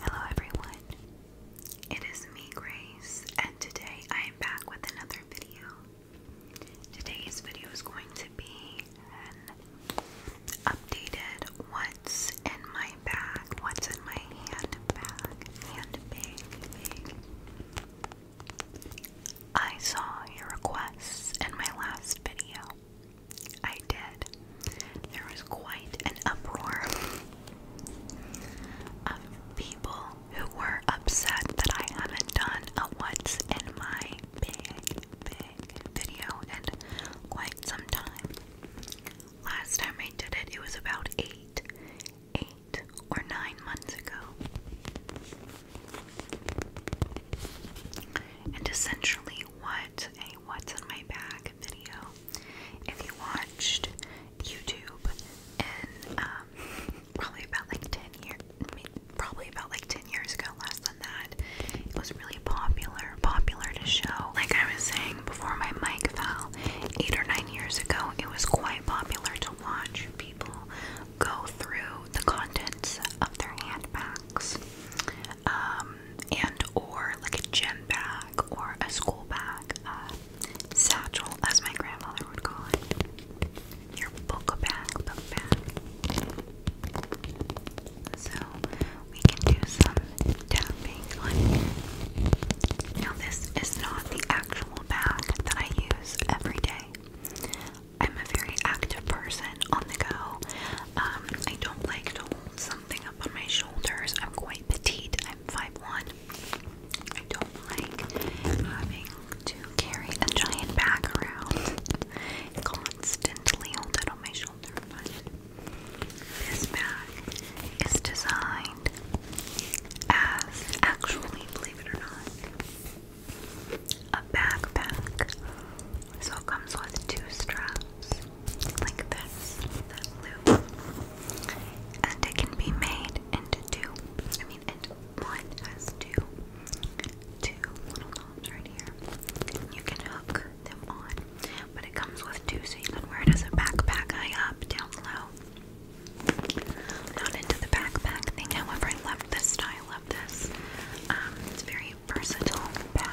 Hello, everyone. It is me, Grace, and today I am back with another video. Today's video is going to be an updated what's in my bag, what's in my handbag, handbag, I saw your requests in my last video, I did. There was quite an uproar of people who were upset that I haven't done a what's in my big, big video in quite some time. Last time I did it, it was about eight, eight or nine months ago. And essentially, what a What's in My Bag video. If you watched YouTube in um, probably about like 10 years, probably about like 10 years ago, less than that, it was really popular, popular to show. Like I was saying before my mic fell, eight or nine years ago, it was quite popular to watch people go through the contents of their handbags, um, and or like a gym bag or a school bag, uh, satchel, as my grandmother would call it, your book bag, book bag. So we can do some tapping Now this is not the actual bag that I use every day. I'm a very active person on the go. Um, I don't like to hold something up on my shoulders. I'm quite petite. I'm 5'1". I don't like having to carry a giant bag around constantly hold it on my shoulder, but this bag is designed as actually, believe it or not, a backpack. So it comes with two straps, like this, that loop. And it can be made into two. I mean, into one has two, two little knobs right here. You can hook them on, but it comes with two, so you can wear it as a backpack, high up, down low. Not into the backpack thing, however, I love this style love this. Um, it's very versatile bag.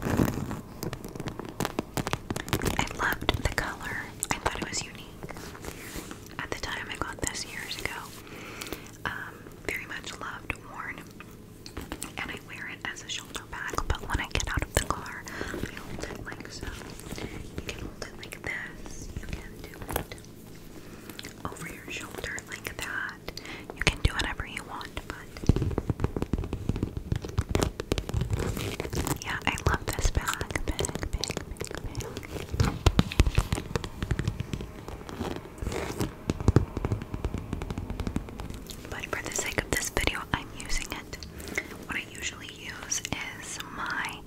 I loved the color. I thought it was unique. At the time I got this years ago. Um, very much loved, worn, and I wear it as a shoulder bag, but when I get out of the car, I hold it like so. You can hold it like this. You can do it over your shoulder like that. You can do whatever you want, but yeah, I love this bag. But for the sake of this video, I'm using it. What I usually use is my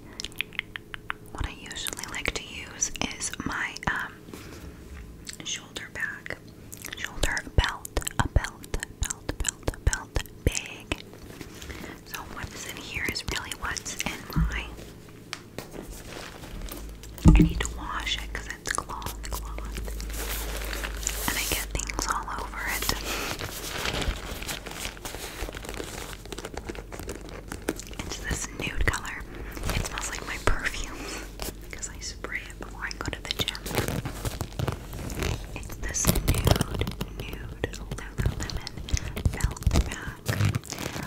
what I usually like to use is my um, shoulder bag, shoulder belt, a belt, belt, belt, belt bag. So what is in here is really what's in my. I need to wash it because it's cloth, cloth, and I get things all over it. It's this nude color. It smells like my perfume because I spray it before I go to the gym. It's this nude, nude Lululemon belt bag.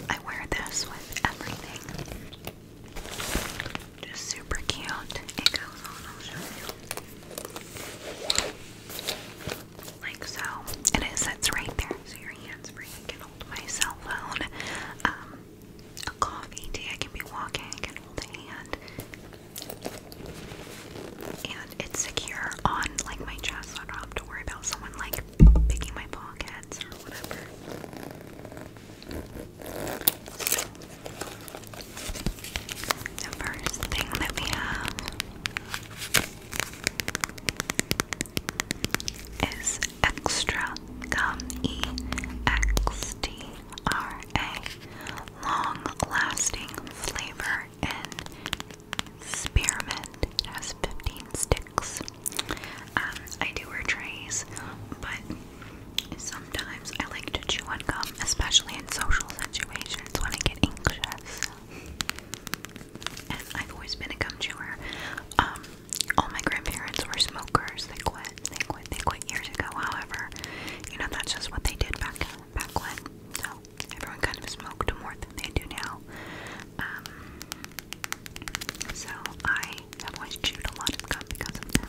I wear this with everything. Just super cute. It goes on, I'll show you like so, and it sits right there, so your hands free. I can hold my cell phone, um, a coffee tea. I can be walking. I can hold a hand, and it's secure on like my chest. So I don't have to worry about someone like picking my pockets or whatever. first thing that we have is extra gum E X T R A long lasting flavor and spearmint. has 15 sticks. Um, I do wear trays, but sometimes I like to chew on gum, especially in social situations when I get anxious and I've always been a gum chewer. Um, all my grandparents were smokers. They quit. They quit. They quit years ago. However, you know that's just what they did back back when. So everyone kind of smoked more than they do now. Um, so I have always chewed a lot of gum because of them.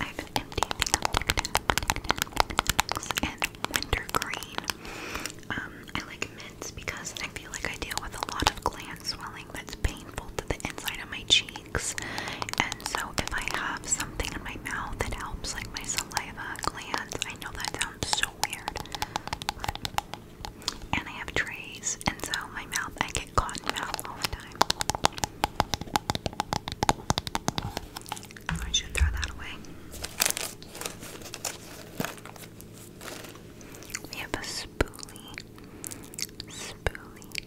I have an empty thing of Tic and wintergreen. Um, I like mints because I feel like I deal with a lot of gland swelling that's painful to the inside of my cheeks. And so if I have something in my mouth that helps like my saliva glands, I know that sounds so weird. and I have trays, and so my mouth, I get caught cotton mouth all the time. I should throw that away. We have a spoolie, spoolie,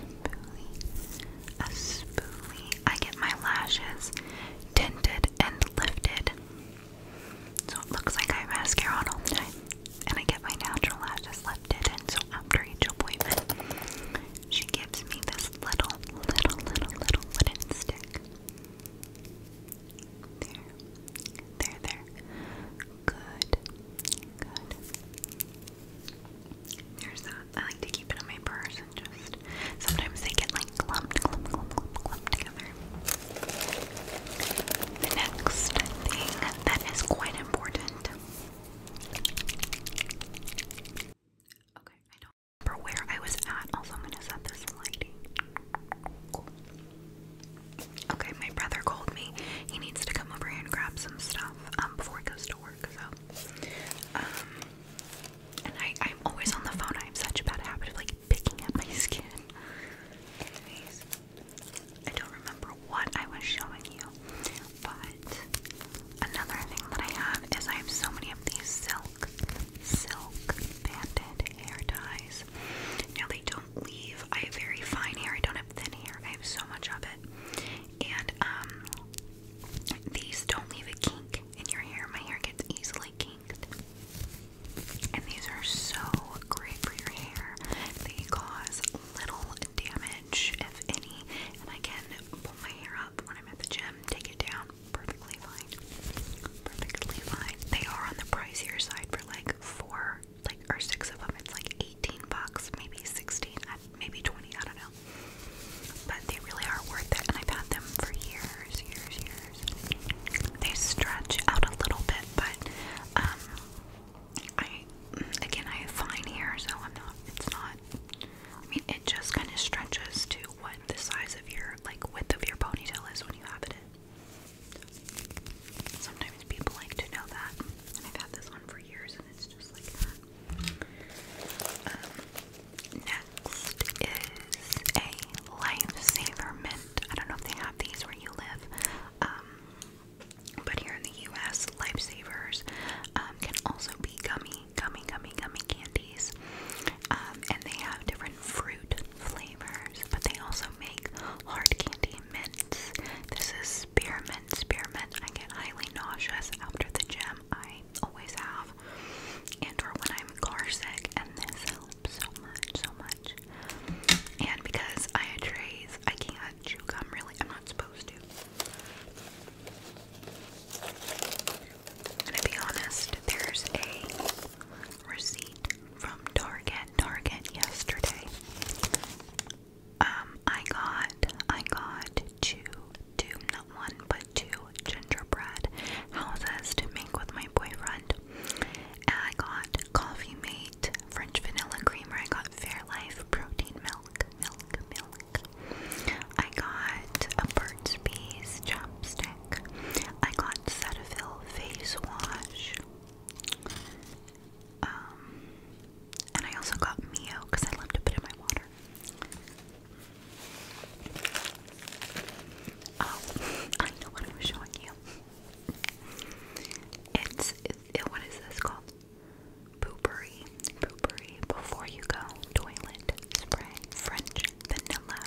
spoolie, a spoolie. I get my lashes tinted and lifted. So it looks like I have mascara on all the time. And I get my natural lashes lifted. And so after each appointment, she gives me this little, little, little, little wooden stick. There. There, there. Good. Good. There's that. I like to keep it in my purse just sometimes they get like clumped, clumped, clumped, clumped, together. The next thing that is quite important. Okay, I don't remember where I was at. Also, I'm gonna set this lighting. Okay, my brother called me. He needs to come over and grab some stuff um, before he goes to work. So, um, and I, I'm always on the phone. I have such a bad habit of like picking at my skin. Anyways, I don't remember what I was showing you. But another thing that I have is I have so many of these silk, silk banded hair ties. Now they don't leave. I have very fine hair. I don't have thin hair. I have so much of it. And um these don't leave a kink in your hair. My hair gets easily kinked. And these are so great for your hair. They cause little damage, if any. And I can pull my hair up when I'm at the gym them take it down. Perfectly fine. Perfectly fine. They are on the pricier side for like four, like or six of them. It's like eighteen bucks, maybe sixteen, maybe twenty. I don't know. But they really are worth it, and I've had them for years, years, years. They stretch out a little bit, but um, I again I have fine hair, so I'm not. It's not I mean, it just kind of stretches to what the size of your, like, width of your ponytail is when you have it in. Sometimes people like to know that, and I've had this one for years, and it's just like that. Um, next is a Lifesaver Mint. I don't know if they have these where you live, um, but here in the U.S., Lifesavers um, can also be gummies gummy, gummy, gummy candies. Um, and they have different fruit flavors, but they also make hard candy mints. This is spearmint, spearmint. I get highly nauseous after the gym. I always have. And or when I'm car sick, and this helps so much, so much. And because I had trays, I can't chew gum really. I'm not supposed to. I'm gonna be honest, there's a receipt from Target, Target yesterday. Um, I got, I got two, two, not one, but two gingerbread houses to make with my boyfriend. And I got Coffee Mate, French vanilla creamer, I got Fairlife protein milk, milk, milk, I got a Burt's Bees chopstick. I got Cetaphil face wash. Um, and I also got Mio because I love to put in my water. Oh, I know what I'm showing you. It's, what is this called? Poopery, poopery, before you go, toilet spray, French vanilla.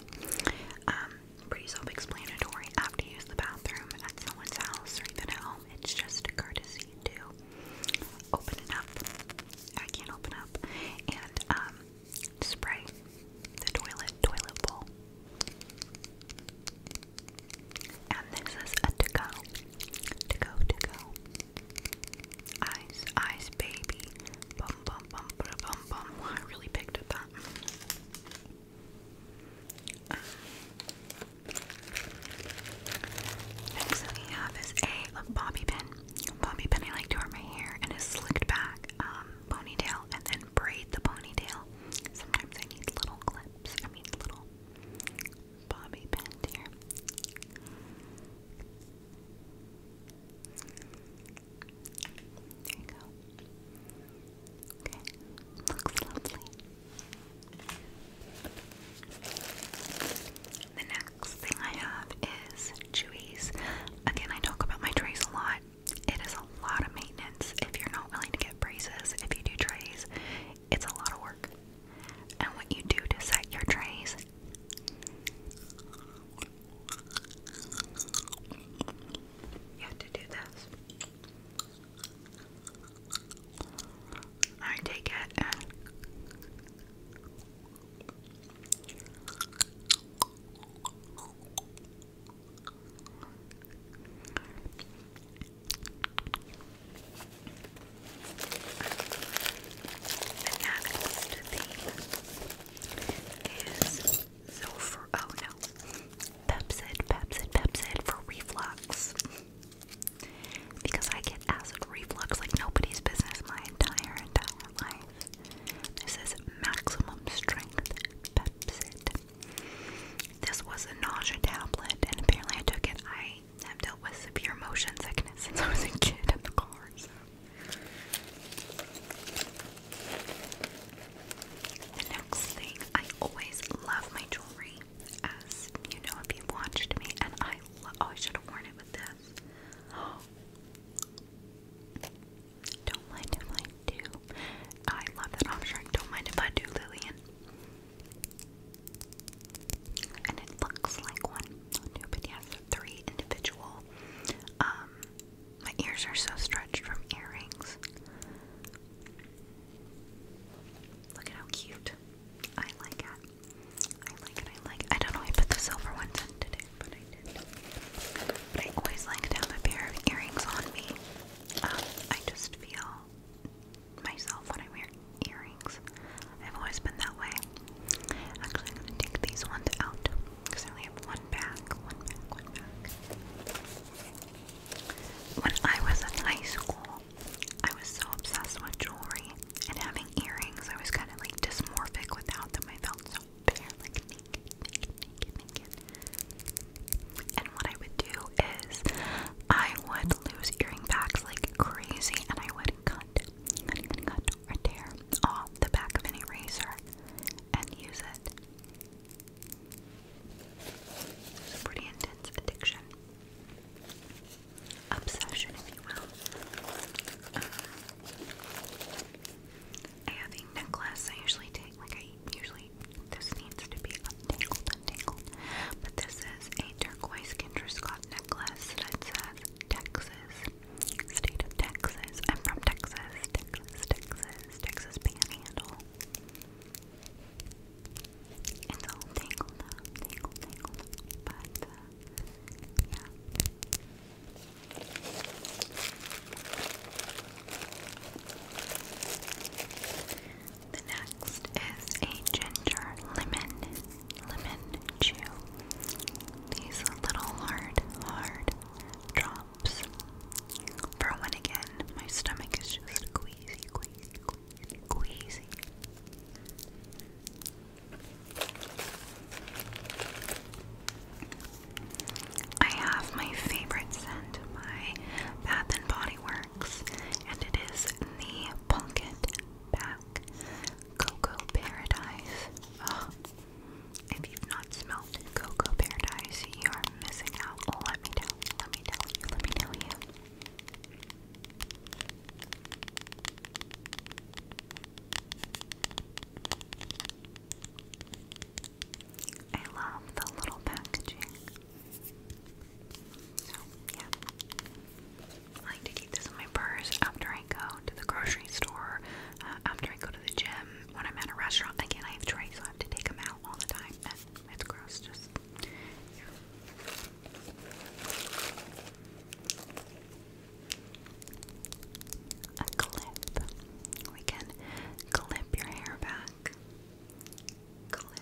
Um, pretty self-explanatory. I use the bathroom at someone's house or even at home. It's just courtesy to open up. I can't open up. And um, spray the toilet toilet bowl. And this is a to-go to go, to go. Ice, ice, baby. Bum, bum, bum, bada, bum, bum. I really picked up that. next thing we have is a bobby pin. Bobby pin I like to wear my hair and is slicked back um, ponytail and then braid the ponytail. Sometimes I need little clips. I mean little Bobby Pantier. There you go. Okay, looks lovely. The next thing I have is Chewies. Again, I talk about my trays a lot. It is a lot of maintenance if you're not willing to get braces. If you do trays, it's a lot of work. And what you do to set your trays you have to do this. I take it the next thing is so oh no, Pepsid, Pepsid, Pepsid for reflux. Because I get acid reflux like nobody's business my entire entire life. This is maximum strength Pepsid. This was a nausea tablet, and apparently I took it. I I've dealt with severe motion sickness since I was a kid in the car. The next thing, I always love my jewelry, as you know if you watched me, and I Oh, I should have worn it with this. Don't mind if I do. I love that object. Don't mind if I do, Lillian and it looks like one, but yes, three individual. Um, my ears are so stretched from earrings. Look at how cute. I like it. I like it. I like it. I don't know. I put the silver ones in today, but I did. I always like to have a pair of earrings on me. Um, I just feel myself when I wear earrings. I've always been that way. Actually, I'm gonna take these ones out because I only have one back, one back, one back. When I was in high school, I was so obsessed with jewelry and having earrings. I was kind of like dysmorphic without them. I felt so bare, like And what I would do is I would lose earring packs like crazy and I would cut cut or tear off the back of an eraser and use it. pretty intense addiction. Obsession, if you will. I have a necklace. I usually take, like, I usually, this needs to be untangled, untangled. But this is a turquoise Kendra Scott necklace that says Texas, state of Texas. I'm from Texas, Texas, Texas, Texas It's all tangled up, tangled, but yeah. The next is a ginger lemon lemon chew. These little hard, hard drops. For one again, my stomach is just queasy, queasy, queasy, queasy. I have my favorite scent by Bath and Body Works, and it is the Pumpkin Bath Coco Paradise. if you've not smelled Cocoa Paradise, you are missing out. Let me tell you, let me tell you, let me tell you. I love the little packaging. I like to keep this in my purse after I go to the grocery store, uh, after I go to the gym, when I'm at a restaurant. Again, I have trays, so I have to take them out all the time. it's gross, just. clip. We can clip your hair back. Clip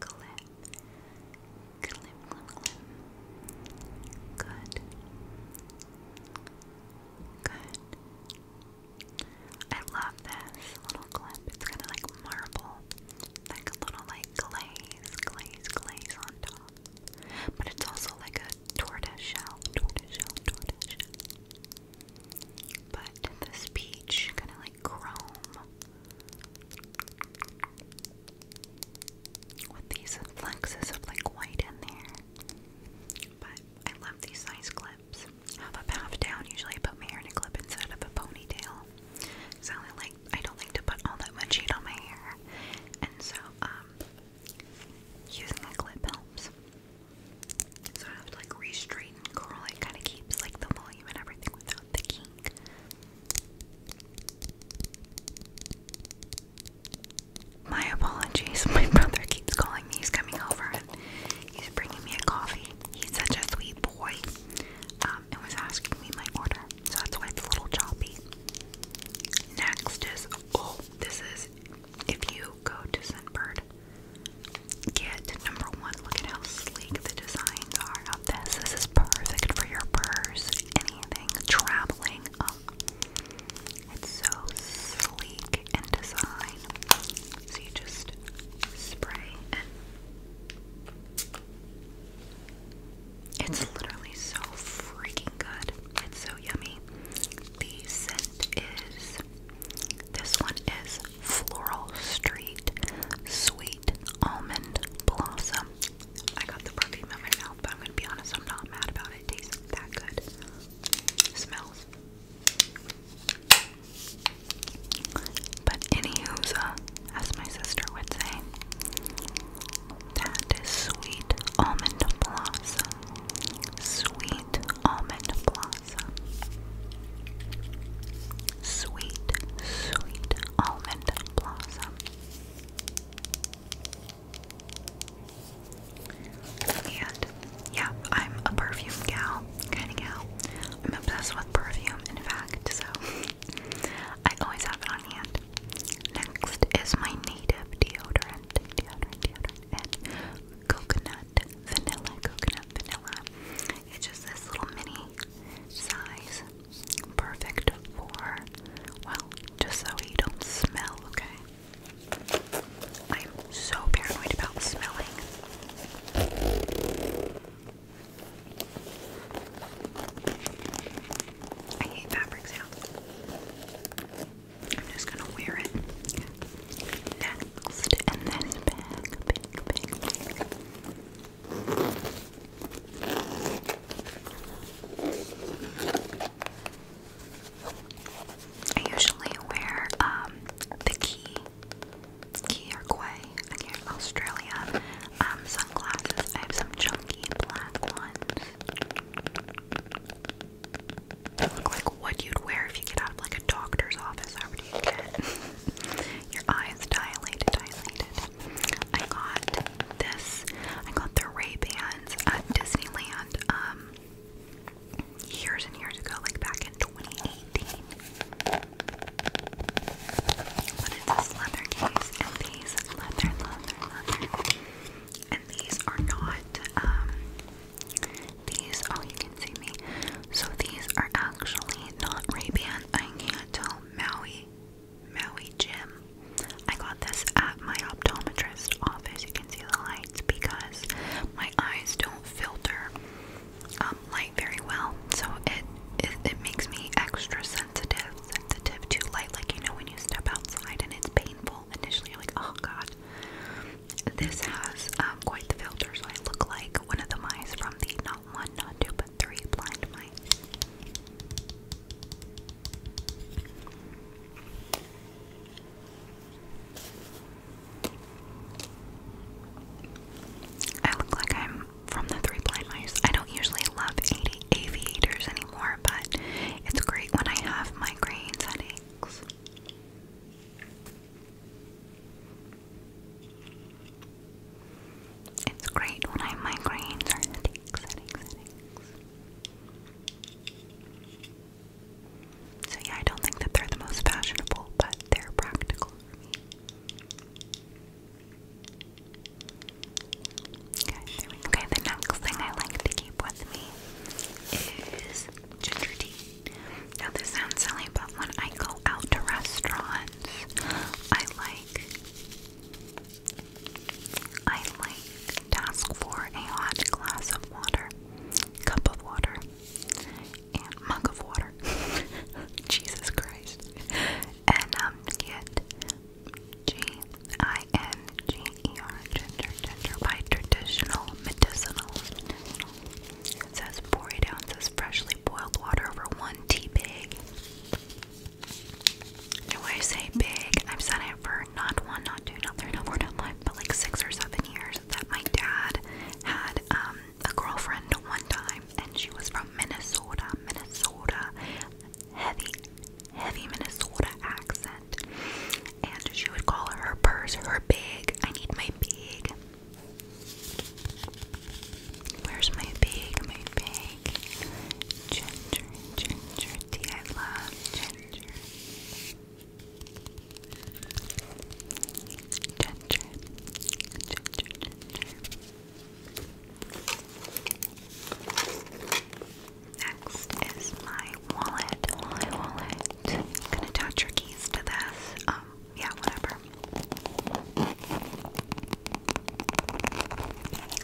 clip, clip, clip, clip. Good. Good. I love this little clip. It's kind of like marble, like a little like glaze, glaze, glaze on top. But it's also like a tortoise shell, tortoise shell, tortoise But this peach kind of like chrome with these flexes of like white in there. But I love these nice clips. Have a half down. Usually I put my hair in a clip instead of a ponytail. So I like I don't like to put all that much heat on my hair. And so um using a clip helps. So I have to like re-straighten curl. It kind of keeps like the volume and everything without the kink. My apologies. My brother keeps calling me. He's coming over he's bringing me a coffee. He's such a sweet boy um, and was asking me my order. So that's why it's a little choppy. Next is, oh, this is if you go to Sunbird, get number one. Look at how sleek the designs are on this. This is perfect for your purse, anything, traveling. Oh, it's so sleek in design. So you just spray and it's literally so freaking good. It's so yummy. The scent is this one is Floral Street Sweet sweet almond blossom. I got the perfume in my mouth, but I'm gonna be honest, I'm not mad about it. tastes that good. smells. But anywho's, uh, as my sister would say, that is sweet almond blossom. Sweet almond blossom. Sweet, sweet almond blossom. And yeah, I'm a perfume gal, kind of gal. I'm obsessed with perfume, in fact, so I always have it on hand. Next is my native deodorant, coconut, vanilla, coconut, vanilla. It's just this little mini size. Perfect for, well, just so you don't smell, okay? I'm so paranoid about smelling. I hate fabric sounds. I'm just gonna wear it next in this Big, big, big. I usually wear um, the key, key or quay Australia. Um, sunglasses. I have some chunky black ones. They look like what you'd wear if you get out of like a doctor's office. However, do you get? Your eyes dilated, dilated. I got this. I got the Ray-Bans at Disneyland um, years and years ago, like back in 2018. But it's a leather case, and these leather, leather, leather. And these are not, um, these, oh, you can see me. So these are actually not Ray-Ban. I can't tell Maui Maui Gym. I got this at my optometrist office. You can see the lights because my eyes don't filter um, light very well, so it, it makes me extra sensitive, sensitive to light. Like you know when you step outside and it's painful initially, like oh god. This has um, quite the filter, I look like one of the mice from the not one, not two, three blind mice. I look like I'm from the Three Blind Mice. I don't usually love avi aviators anymore, but it's great when I have migraines, headaches. It's great when I have migraines or headaches, headaches, headaches. So yeah, I don't think that they're the most fashionable, but they're practical for me. Okay, the next thing I like to keep with me is ginger tea. Now this sounds silly, but when I go out to restaurants ones I like. I like to ask for a hot glass of water, cup of water, and mug of water. Jesus Christ. And um, get G-I-N-G-E-R, ginger, ginger, by traditional medicinal. medicinal. It says 48 ounces freshly boiled water over one tea bag. And I say big, I've said it for not one, not two, not three, not four, not five, but like six or seven years that my dad had um, a girlfriend one time and she was from Minnesota, Minnesota, heavy, heavy Minnesota accent. And she would call her purse her big. I need my big. Where's my big, my big ginger, ginger tea? I love ginger. Ginger, ginger, ginger. Next is my wallet. My wallet. gonna attach your keys to this. Um, yeah, whatever.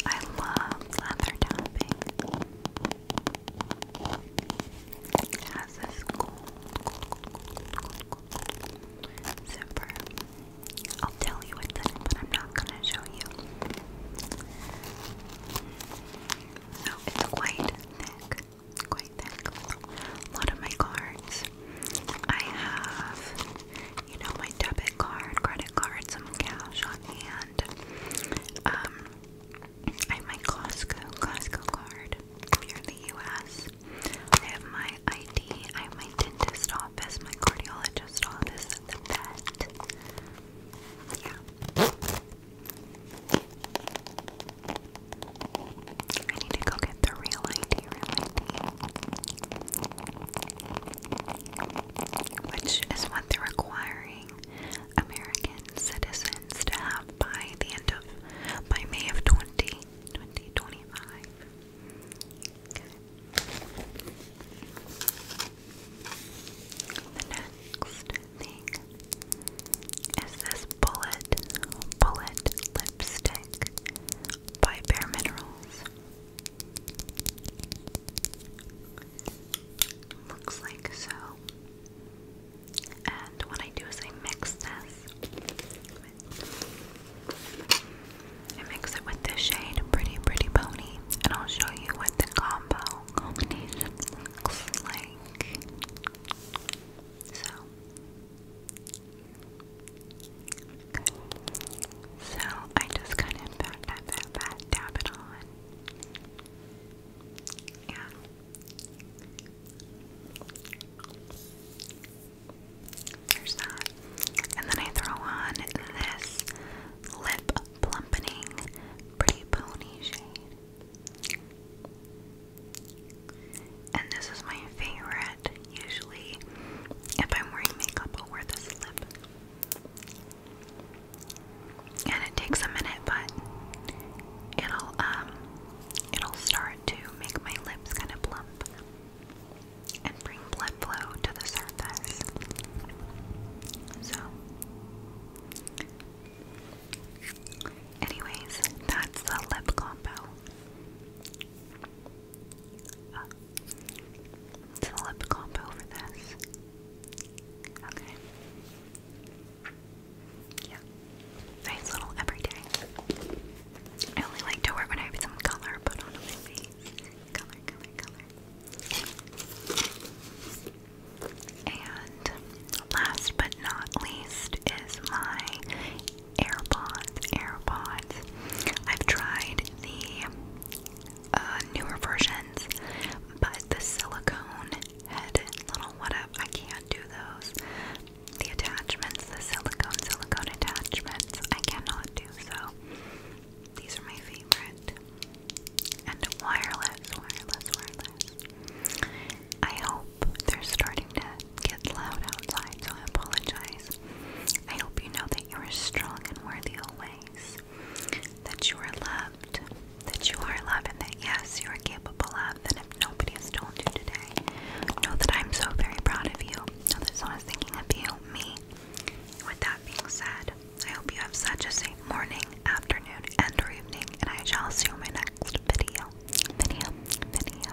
I love leather tapping. It has this gold, zipper. I'll tell you it's in, but I'm not gonna show you. So it's quite thick, quite thick. A lot of my cards I have, you know, my debit card, credit card, some cash on hand. Um, I have my Costco, Costco card. If you're in the US, I have my ID. I have my dentist office, my cardiologist office, the vet. Yeah. I need to go get the real ID, Which is what they're requiring American citizens to have by the end of, by May of 20, 2025. The next thing is this bullet, bullet lipstick by Bare Minerals. Looks like so. And what I do is I mix this. I mix it with the shade Pretty Pretty Pony, and I'll show you what the combo looks like. So, so I just kind of dab it on. Yeah. There's that. And then I throw on this lip plumpening pretty pony shade. And this is my favorite. Usually, if I'm wearing makeup, I'll wear this lip. And it takes a minute, but it'll um it'll start to make my lips kind of plump and bring blood flow to the surface. So Anyways, that's the lip combo. Uh, it's a lip combo for this. Okay. Yeah. Nice little everyday. I only like to wear when I have some color put on my face. Color, color, color. And last but not least is my AirPods, AirPods. I've tried the uh, newer versions, but the silicone head little what up, I can't do those. The attachments, the silicone, silicone attachments, I cannot do so. These are my favorite. And wireless, wireless, wireless. I hope they're starting to get loud outside, so I apologize. I hope you know that you are strong and worthy always, that you are loved, that you are loved, and that yes, you are capable of. And if nobody has told you today, know that I'm so very proud of you. Know that someone's thinking of you, me. With that being said, I hope you have such a safe morning, afternoon, and or evening, and I shall see you in my next video. Video, video,